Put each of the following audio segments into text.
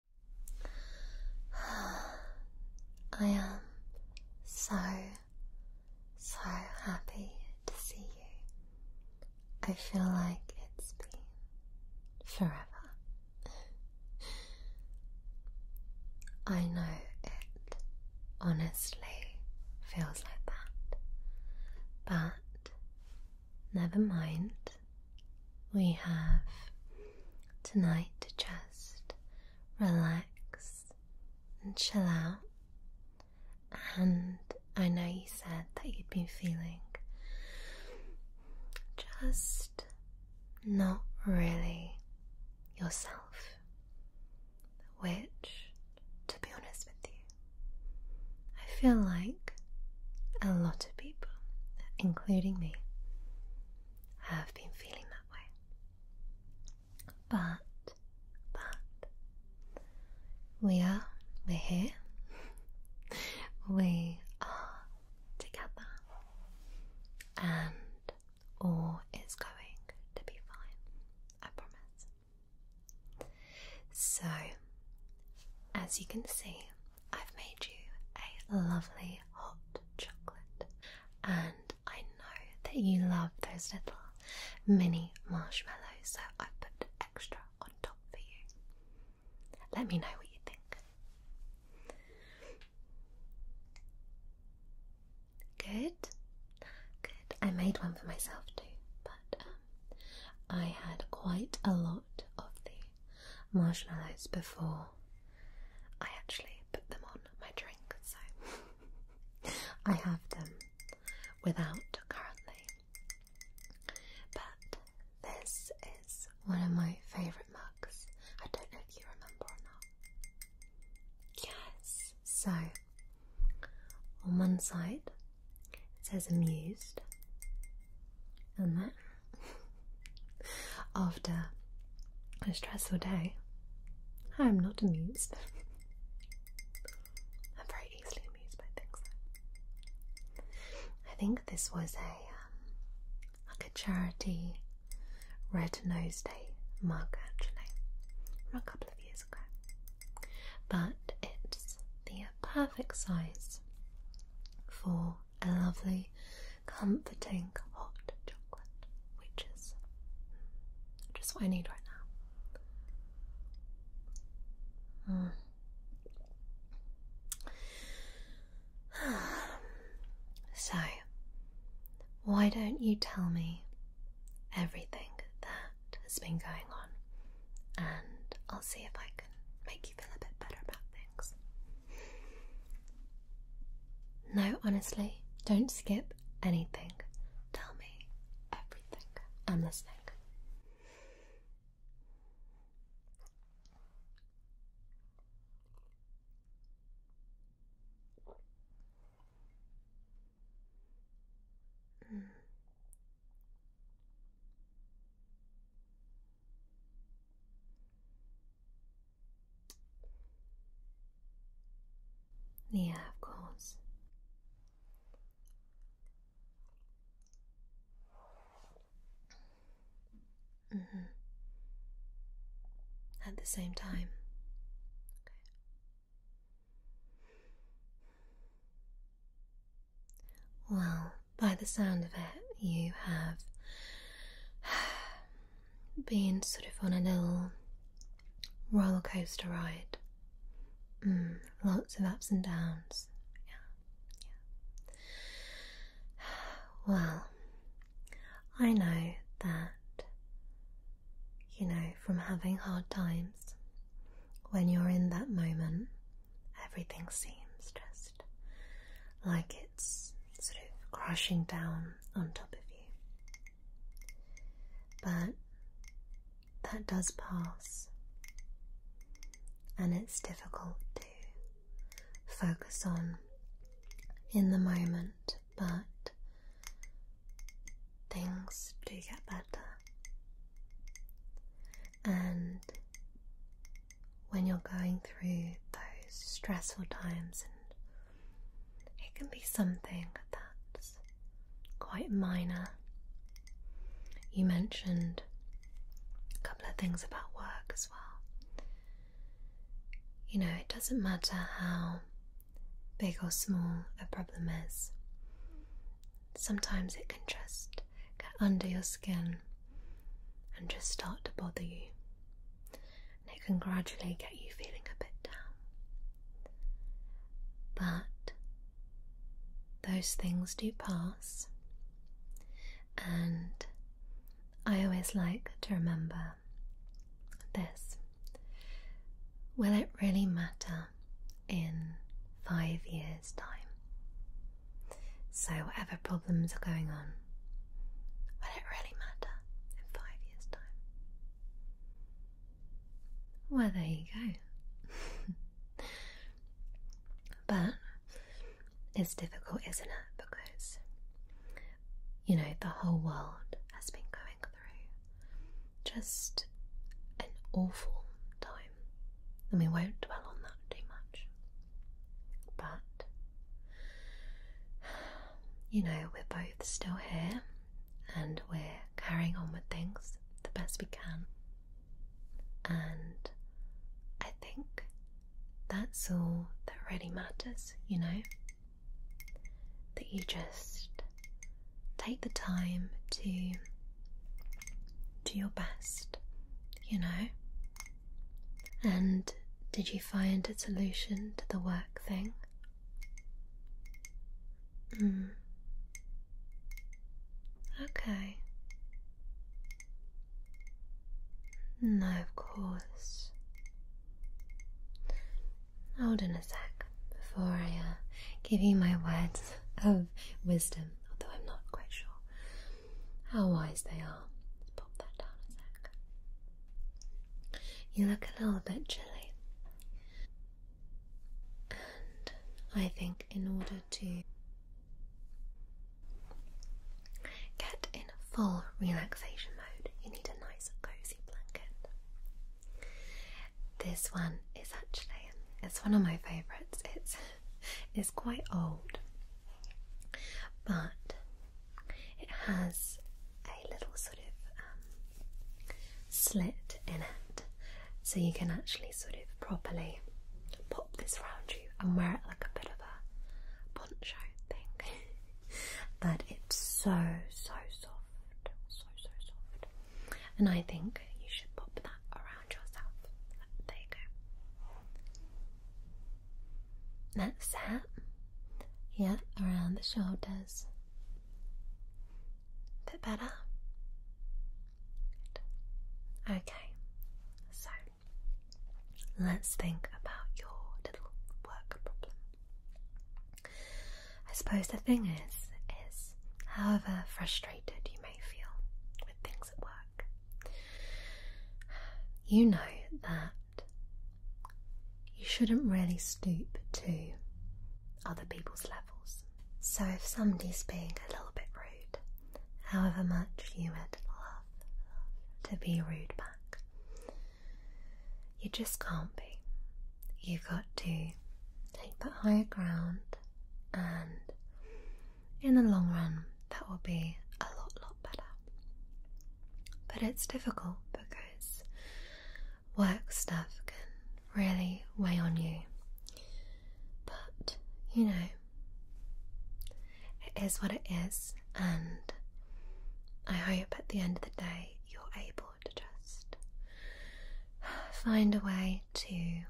I am so, so happy to see you. I feel like it's been forever. I know it honestly feels like that, but never mind we have tonight to just relax and chill out. And I know you said that you'd been feeling just not really yourself, which, to be honest with you, I feel like a lot of people, including me, I have been feeling that way. But, but, we are, we're here. we are together. And all is going to be fine. I promise. So, as you can see, I've made you a lovely hot chocolate, and I know that you love those little mini marshmallows, so I put extra on top for you. Let me know what you think. Good, good. I made one for myself too, but um, I had quite a lot of the marshmallows before I actually put them on my drink, so I have them without currently. But this is one of my favourite mugs. I don't know if you remember or not. Yes, so on one side it says amused, and then after a stressful day, I'm not amused. I'm very easily amused by things. I think this was a um, like a charity Red Nose Day mug actually from a couple of years ago, but it's the perfect size for a lovely, comforting hot chocolate, which is mm, just what I need right now. Mm. so, why don't you tell me everything that has been going on, and I'll see if I can make you feel a bit better about this. No, honestly, don't skip anything. Tell me everything. I'm listening. Yeah, of course. Mm-hmm. At the same time. Well, by the sound of it, you have been sort of on a little roller coaster ride. Mm, lots of ups and downs. Yeah, yeah. Well, I know that, you know, from having hard times, when you're in that moment, everything seems just like it's sort of crashing down on top of you. But that does pass, and it's difficult to focus on in the moment, but things do get better. And when you're going through those stressful times, and it can be something that's quite minor. You mentioned a couple of things about work as well. You know, it doesn't matter how big or small a problem is, sometimes it can just get under your skin and just start to bother you and it can gradually get you feeling a bit down. But those things do pass, and I always like to remember this. Will it really matter in five years' time? So, whatever problems are going on, will it really matter in five years' time? Well, there you go. but it's difficult, isn't it? Because, you know, the whole world has been going through just an awful time. And we won't dwell on that too much. But You know, we're both still here and we're carrying on with things the best we can. And I think that's all that really matters, you know? That you just take the time to do your best, you know? And did you find a solution to the work thing? Hmm. Okay. No, of course. Hold on a sec before I uh, give you my words of wisdom, although I'm not quite sure how wise they are. Let's pop that down a sec. You look a little bit chilly. And I think in order to get in full relaxation mode, you need a nice cozy blanket. This one is actually it's one of my favourites. It's it's quite old, but it has a little sort of um, slit in it, so you can actually sort of properly pop this round you and wear it like a bit of a poncho thing. but it's so so soft, so so soft, and I think you should pop that around yourself. There you go. That's that. Yeah, around the shoulders. Bit better. Okay, so let's think about your little work problem. I suppose the thing is, is however frustrated you may feel with things at work, you know that you shouldn't really stoop to other people's levels. So if somebody's being a little bit rude, however much you would love to be rude back, you just can't be. You've got to take the higher ground, and in the long run, that will be a lot but it's difficult because work stuff can really weigh on you. But, you know, it is what it is, and I hope at the end of the day you're able to just find a way to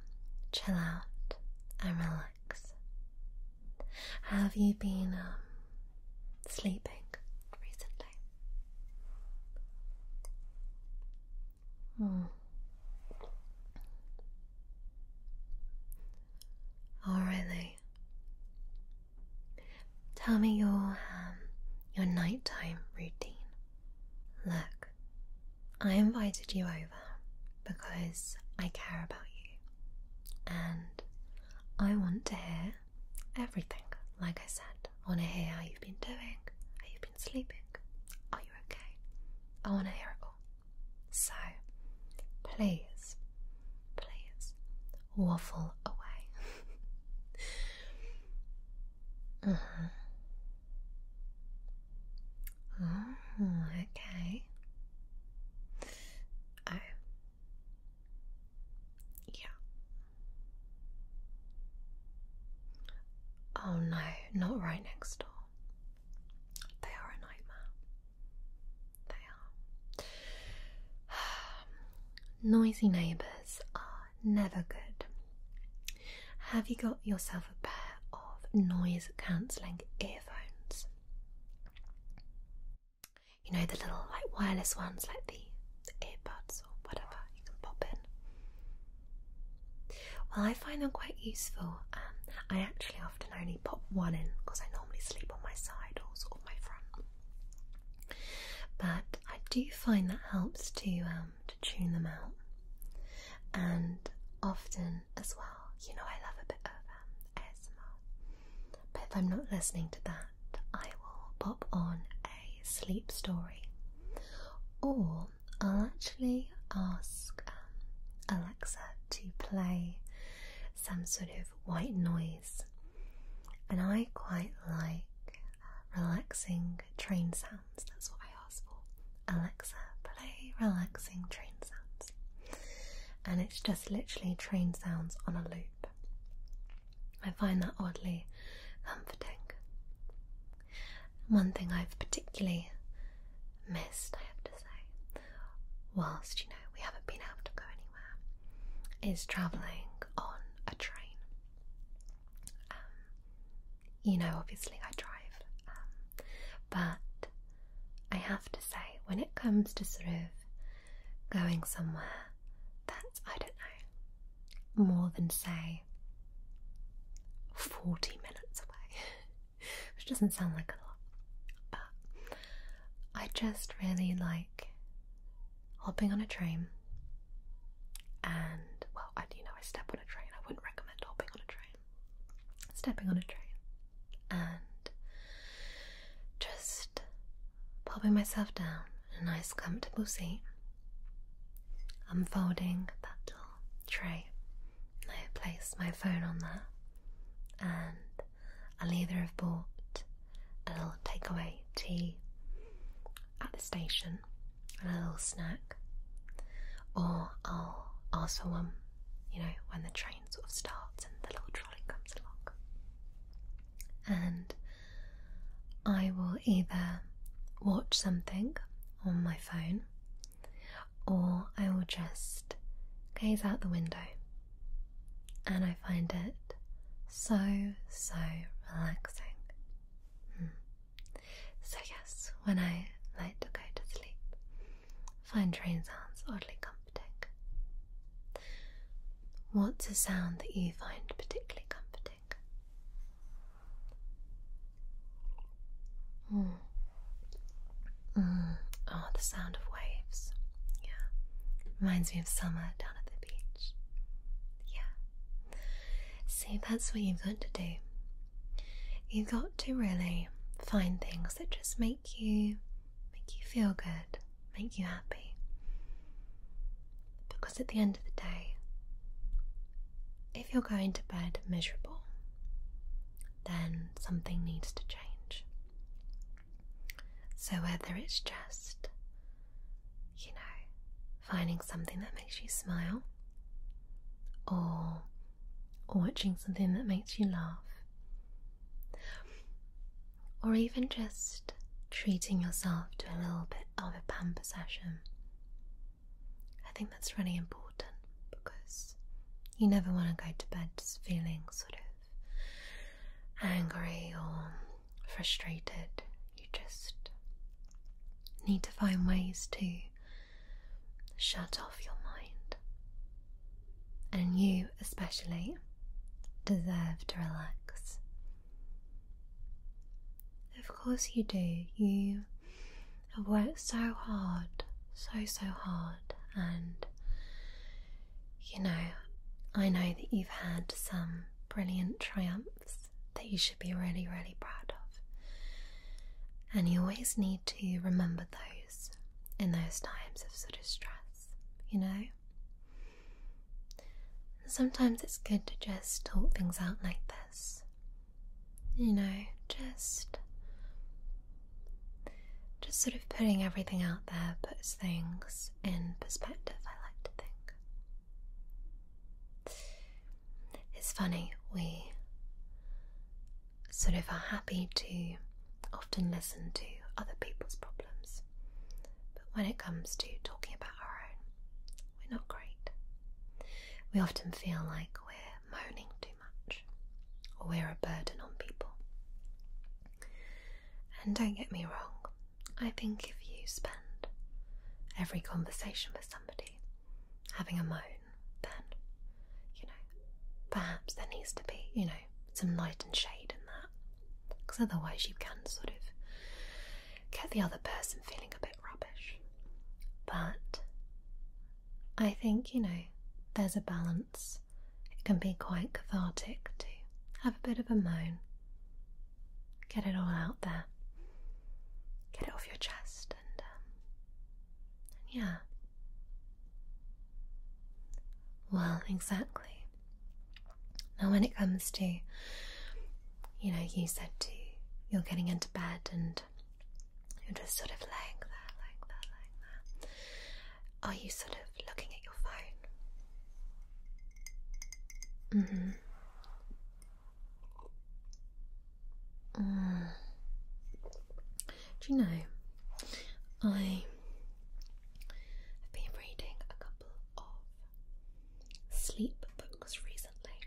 chill out and relax. Have you been um, sleeping recently? Hmm. Oh, really? Tell me your um, your nighttime routine. Look, I invited you over because I care about you and I want to hear everything. Like I said, I want to hear how you've been doing, how you've been sleeping, are you okay? I want to hear it all. So, please, please waffle away. Uh-huh. Oh, okay. I yeah. Oh no, not right next door. They are a nightmare. They are. Noisy neighbours are never good. Have you got yourself a pair of noise cancelling earphones? you know, the little like wireless ones, like the, earbuds or whatever you can pop in. Well, I find them quite useful. Um, I actually often only pop one in because I normally sleep on my side or sort of my front. But I do find that helps to um, to tune them out, and often as well, you know, I love a bit of um, ASMR. But if I'm not listening to that, I will pop on a sleep story. Or I'll actually ask um, Alexa to play some sort of white noise. And I quite like uh, relaxing train sounds, that's what I ask for. Alexa, play relaxing train sounds. And it's just literally train sounds on a loop. I find that oddly comforting. One thing I've particularly missed, I have to say, whilst you know we haven't been able to go anywhere, is travelling on a train. Um, you know, obviously I drive, um, but I have to say when it comes to sort of going somewhere that's, I don't know, more than say 40 minutes away, which doesn't sound like a lot, but I just really like hopping on a train. And well, I, you know, I step on a train. I wouldn't recommend hopping on a train. Stepping on a train and just popping myself down in a nice comfortable seat, unfolding that little tray. I place my phone on that, and I'll either have bought a little takeaway tea at the station and a little snack, or I'll ask someone, you know, when the train sort of starts and the little trolley comes along. And I will either watch something on my phone or I will just gaze out the window. And I find it so, so relaxing. Hmm. So, yes, when I like to go to sleep, Find train sounds oddly comforting. What's a sound that you find particularly comforting? Mm. Oh, the sound of waves. Yeah. Reminds me of summer down at the beach. Yeah. See, that's what you've got to do. You've got to really find things that just make make you make you feel good, make you happy. Because at the end of the day, if you're going to bed miserable, then something needs to change. So whether it's just, you know, finding something that makes you smile or watching something that makes you laugh or even just treating yourself to a little bit of a pamper session. I think that's really important because you never want to go to bed feeling sort of angry or frustrated. You just need to find ways to shut off your mind and you especially deserve to relax. Of course, you do. You have worked so hard, so, so hard, and you know, I know that you've had some brilliant triumphs that you should be really, really proud of. And you always need to remember those in those times of sort of stress, you know? Sometimes it's good to just talk things out like this. You know, just just sort of putting everything out there puts things in perspective, I like to think. It's funny, we sort of are happy to often listen to other people's problems, but when it comes to talking about our own, we're not great. We often feel like we're moaning too much or we're a burden on people. And don't get me wrong, I think if you spend every conversation with somebody having a moan, then, you know, perhaps there needs to be, you know, some light and shade in that, because otherwise you can sort of get the other person feeling a bit rubbish. But I think, you know, there's a balance. It can be quite cathartic to have a bit of a moan, get it all out there, get it off your chest, and, um, yeah, well, exactly. Now, when it comes to, you know, you said to, you're getting into bed and you're just sort of laying there, like Are you sort of looking at your phone? Mm-hmm. Mm. Do you know, I I've been reading a couple of sleep books recently.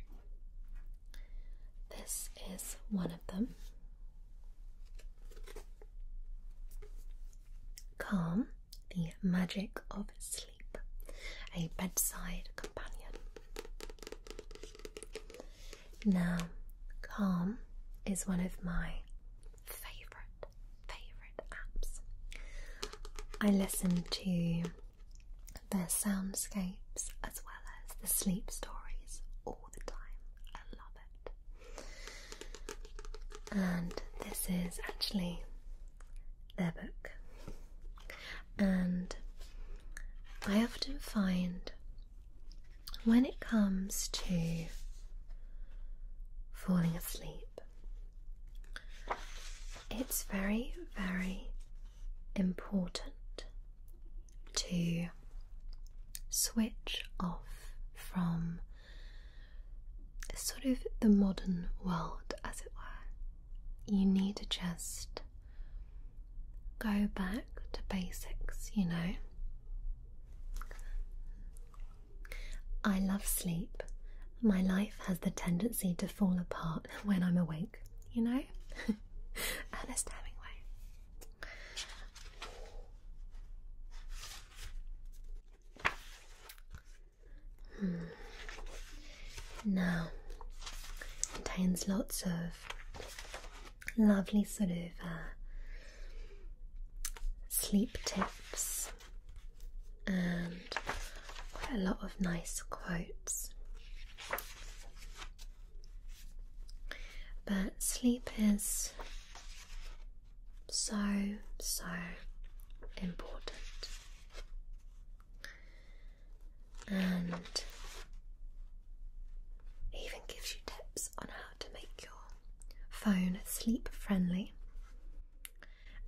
This is one of them. Calm, the Magic of Sleep, a bedside companion. Now, Calm is one of my favourite favourite apps. I listen to their soundscapes as well as the sleep stories all the time. I love it. And this is actually their book. And I often find when it comes to falling asleep, it's very, very important to switch off from sort of the modern world, as it were. You need to just go back to basics, you know. I love sleep. My life has the tendency to fall apart when I'm awake, you know? Ernest Hemingway. Hmm. Now, contains lots of lovely sort of uh, sleep tips and quite a lot of nice quotes. But sleep is so, so important. And it even gives you tips on how to make your phone sleep friendly,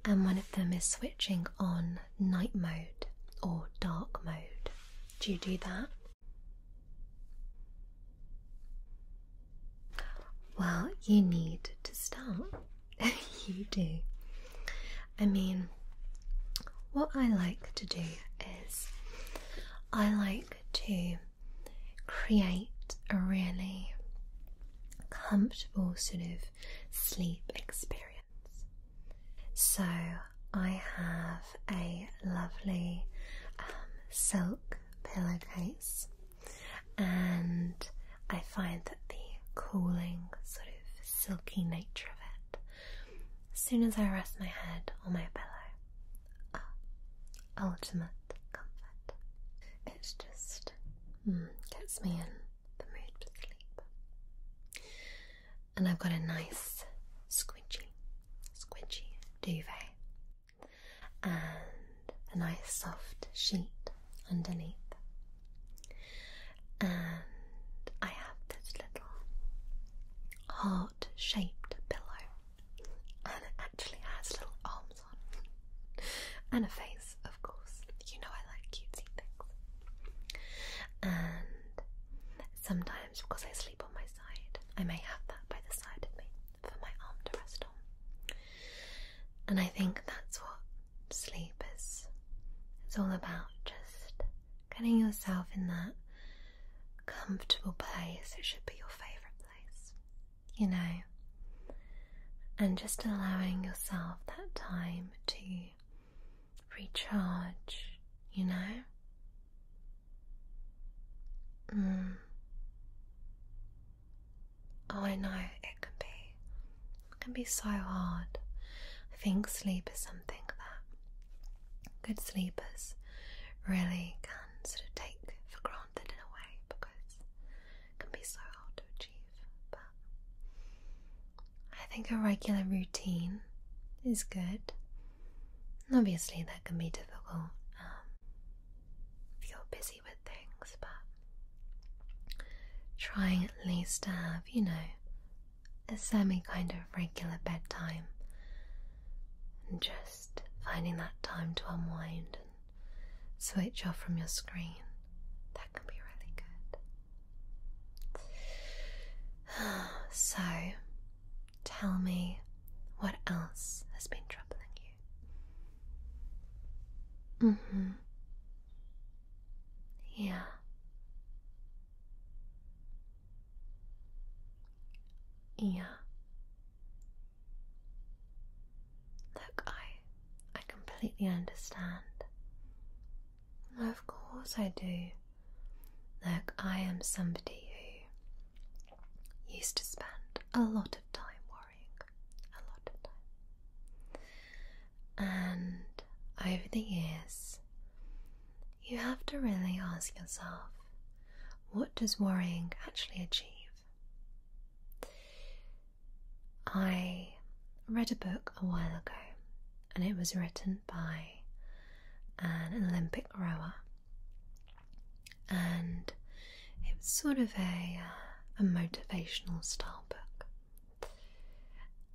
and one of them is switching on night mode or dark mode. Do you do that? Well, you need to start. you do. I mean, what I like to do is I like to create a really comfortable sort of sleep experience. So, I have a lovely um, silk pillowcase, and I find that the cooling, sort of silky nature of it, as soon as I rest my head on my pillow, ultimate comfort. It's just hmm, gets me in the mood to sleep. And I've got a nice squinchy, squinchy duvet and a nice soft sheet underneath. And I have this little heart shaped pillow and it actually has little arms on and a face, of course. You know I like cutesy things. And sometimes, because I sleep on my side, I may have that by the side of me for my arm to rest on. And I think that's what sleep is. It's all about just getting yourself in that comfortable place. It should be your favourite place you know, and just allowing yourself that time to recharge, you know. Mm. Oh, I know it can be, it can be so hard. I think sleep is something that good sleepers really can sort of take for granted something in a way because it can be so hard to achieve. But I think a regular routine is good. Obviously, that can be difficult um, if you're busy with things, but trying at least to have, you know, a semi kind of regular bedtime and just finding that time to unwind switch off from your screen, that can be really good. So, tell me what else has been troubling you. Mm hmm. Yeah. Yeah. Look, I I completely understand. Of course I do. Look, I am somebody who used to spend a lot of time worrying. A lot of time. And over the years, you have to really ask yourself what does worrying actually achieve? I read a book a while ago and it was written by an Olympic rower and it was sort of a, uh, motivational style book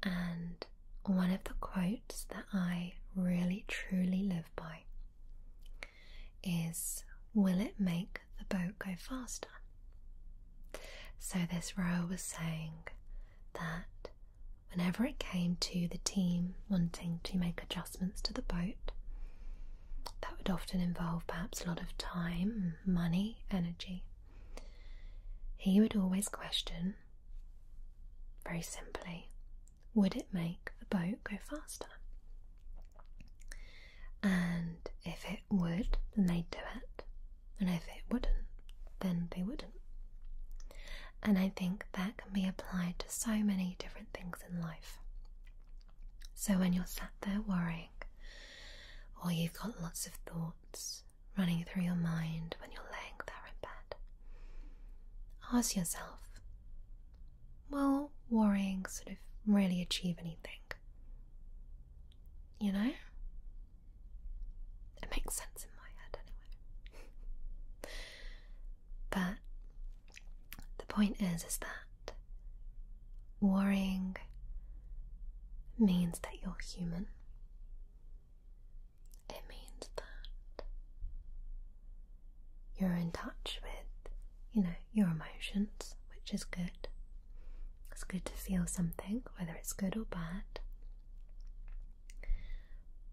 and one of the quotes that I really truly live by is will it make the boat go faster? So this rower was saying that whenever it came to the team wanting to make adjustments to the boat, that would often involve perhaps a lot of time, money, energy. He would always question, very simply, would it make the boat go faster? And if it would, then they'd do it. And if it wouldn't, then they wouldn't. And I think that can be applied to so many different things in life. So when you're sat there worrying, or you've got lots of thoughts running through your mind when you're laying there in bed, ask yourself well, worrying sort of really achieve anything. You know? It makes sense in my head anyway. but the point is is that worrying means that you're human. It means that you're in touch with, you know, your emotions, which is good. It's good to feel something, whether it's good or bad.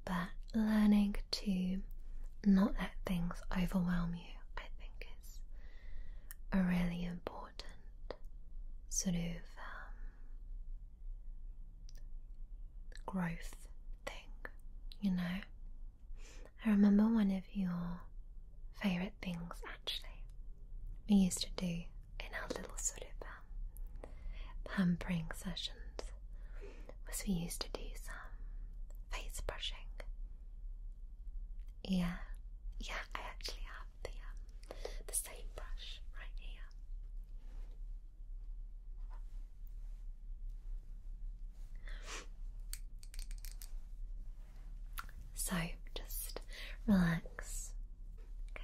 But learning to not let things overwhelm you, I think, is a really important sort of um, growth thing, you know? I remember one of your favourite things actually we used to do in our little sort of um, pampering sessions was we used to do some face brushing. Yeah, yeah, I actually have the um, the same brush right here. So just relax. Okay.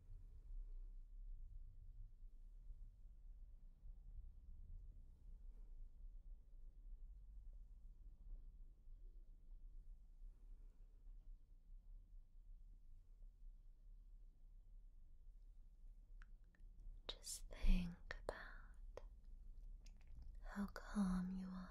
Just think about how calm you are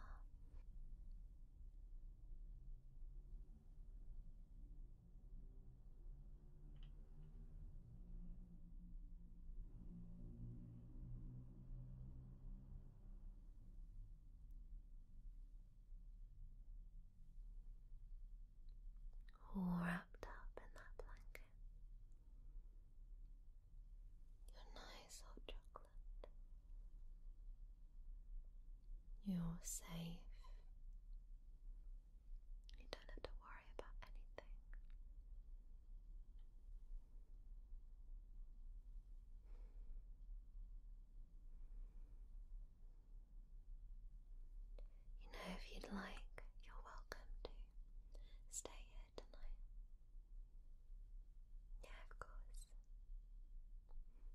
wrapped up in that blanket. Your nice hot chocolate you're safe. You don't have to worry about anything. You know, if you'd like, you're welcome to stay here tonight. Yeah, of course.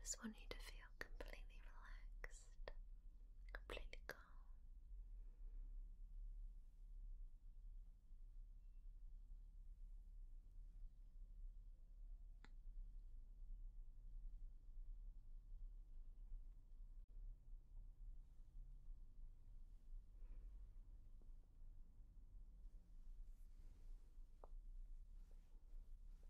Just want you to feel completely relaxed, completely calm.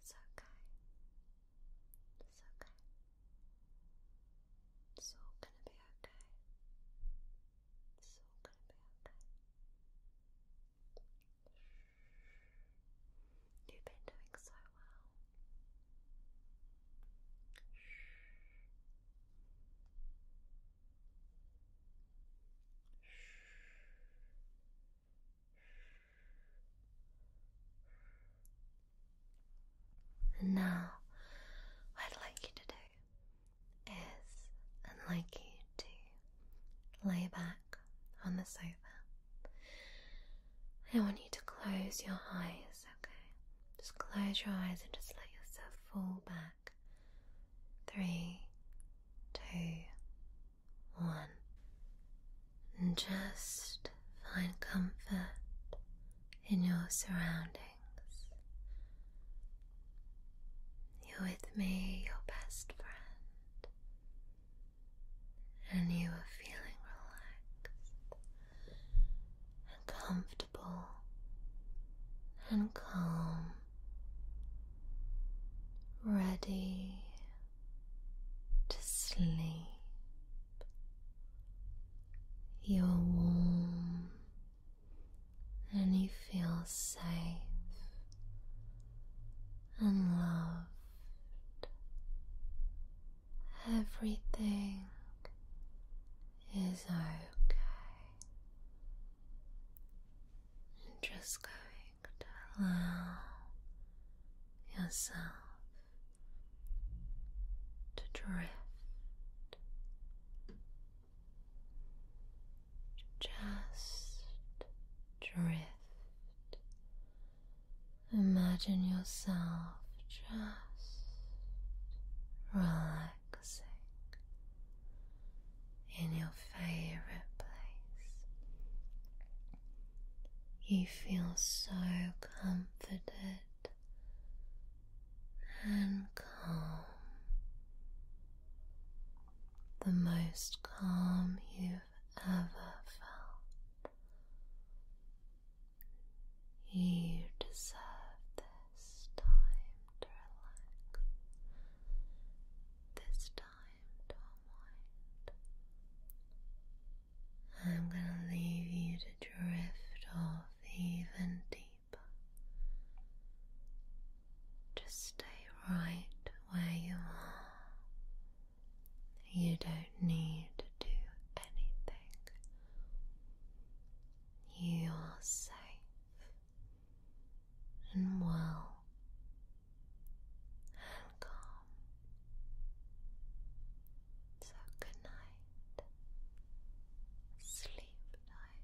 It's okay. It's okay. It's all gonna be okay. It's all gonna be okay. You've been doing so well. And now, what I'd like you to do is I'd like you to lay back on the sofa. I want you to close your eyes, okay? Just close your eyes and just let yourself fall back three, two, one. And just find comfort in your surroundings. You're with me, your best friend, and you are feeling relaxed and comfortable and calm ready to sleep. You're warm and you feel safe and loved. Everything is okay just going to allow yourself to drift just drift imagine yourself just right in your favorite place. You feel so comforted and calm, the most calm you've ever felt. You deserve this this time to this time unwind. I'm going to leave you to drift off even deeper. Just stay right where you are. You don't need to do anything. You are safe and well and calm. So good night, sleep night.